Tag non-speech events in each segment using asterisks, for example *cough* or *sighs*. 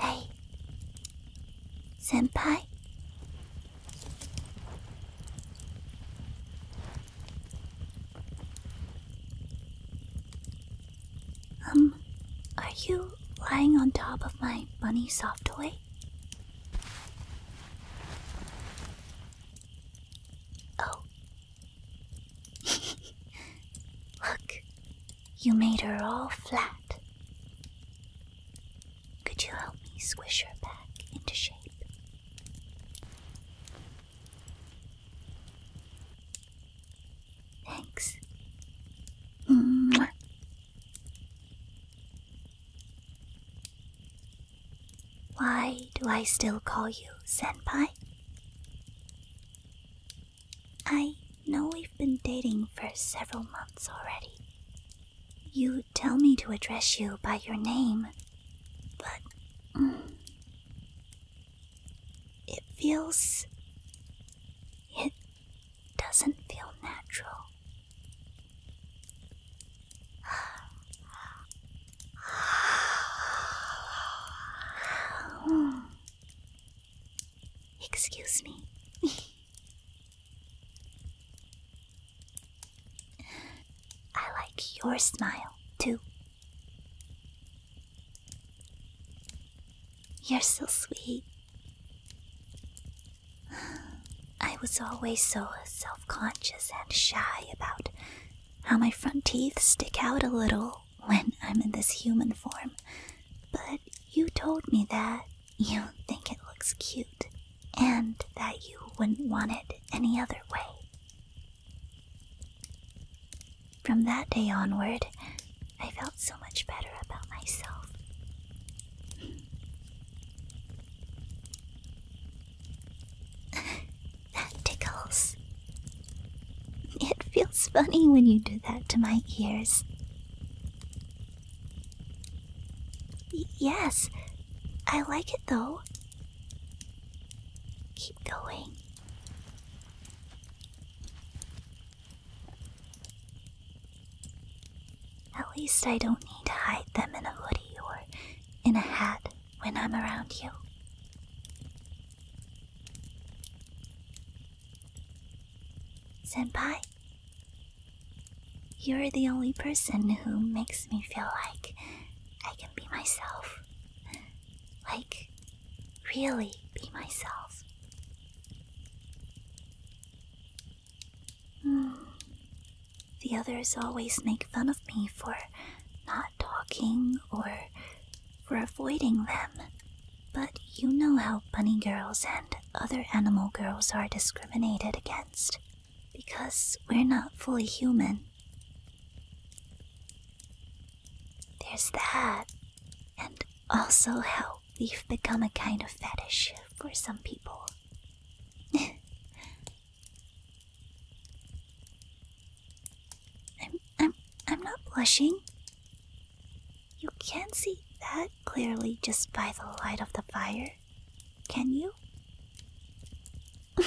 Hey, senpai. Um, are you lying on top of my bunny soft toy? Oh. *laughs* Look, you made her all flat. Could you help me squish her back into shape? Thanks. Mwah. Mm. Why do I still call you Senpai? I know we've been dating for several months already. You tell me to address you by your name, but mm, it feels. It doesn't feel natural. *sighs* Excuse me. *laughs* I like your smile too. You're so sweet. I was always so self conscious and shy about how my front teeth stick out a little when I'm in this human form. But you told me that you think it looks cute and that you wouldn't want it any other way. From that day onward, I felt so much better about myself. *laughs* that tickles. It feels funny when you do that to my ears. yes, I like it though. Keep going. At least I don't need to hide them in a hoodie or in a hat when I'm around you. Senpai, you're the only person who makes me feel like I can be myself. Like really be myself. Hmm. The others always make fun of me for not talking or for avoiding them. But you know how bunny girls and other animal girls are discriminated against because we're not fully human. There's that. And also how we've become a kind of fetish for some people. *laughs* I'm I'm I'm not blushing. You can't see that clearly just by the light of the fire, can you? *laughs*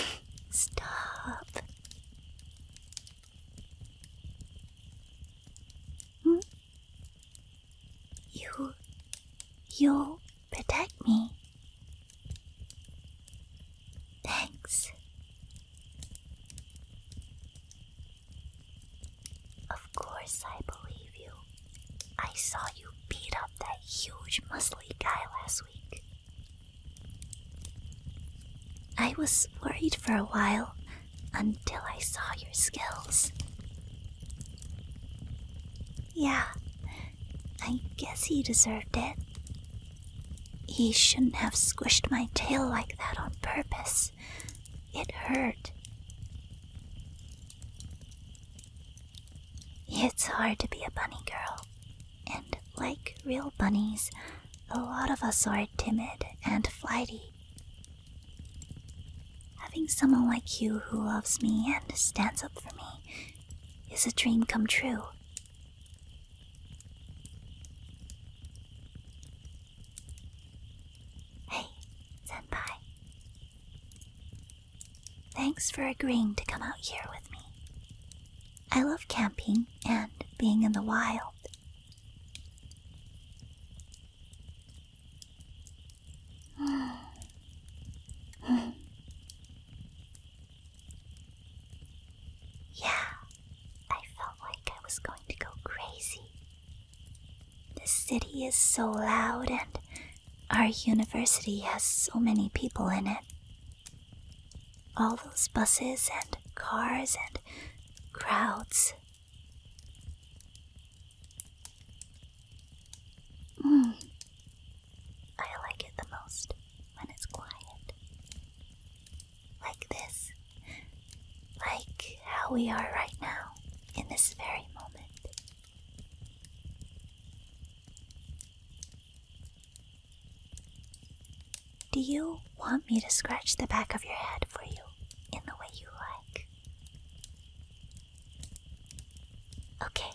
Stop. Hmm? You. you protect me. Thanks. Of course, I believe you. I saw you beat up that huge muscly guy last week. I was worried for a while until I saw your skills. Yeah, I guess he deserved it. He shouldn't have squished my tail like that on purpose. It hurt. It's hard to be a bunny girl, and like real bunnies, a lot of us are timid and flighty. Having someone like you who loves me and stands up for me is a dream come true. Hey, Senpai. Thanks for agreeing to come out here with me. I love camping and being in the wild. *sighs* yeah, I felt like I was going to go crazy. The city is so loud and our university has so many people in it. All those buses and cars and crowds. Mm. I like it the most when it's quiet. Like this. Like how we are right now, in this very moment. Do you want me to scratch the back of your head for you in the way you like? Okay.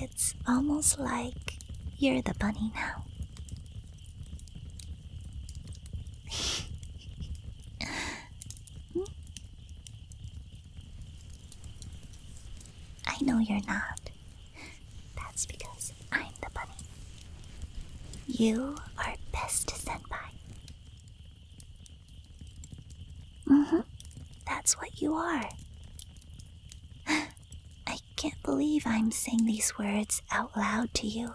It's almost like you're the bunny now. *laughs* I know you're not. That's because I'm the bunny. You are best senpai. Mm hmm. That's what you are. *sighs* I can't believe I'm saying these words out loud to you.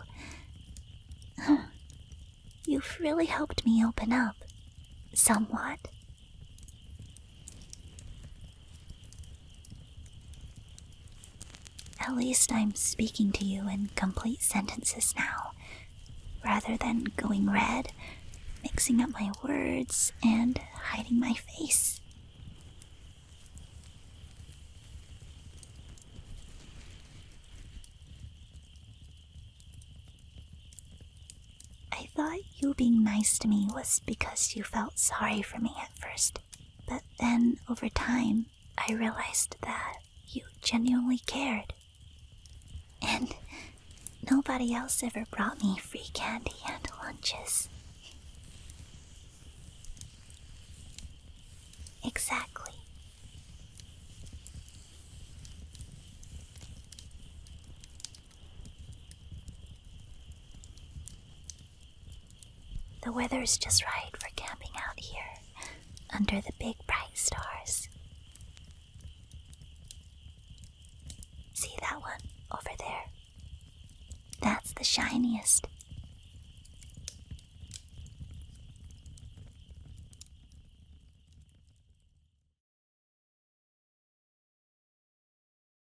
*sighs* You've really helped me open up. Somewhat. At least I'm speaking to you in complete sentences now, rather than going red, mixing up my words, and hiding my face. I thought you being nice to me was because you felt sorry for me at first. But then, over time, I realized that you genuinely cared. And nobody else ever brought me free candy and lunches. Exactly. The weather's just right for camping out here under the big bright stars. See that one over there? That's the shiniest.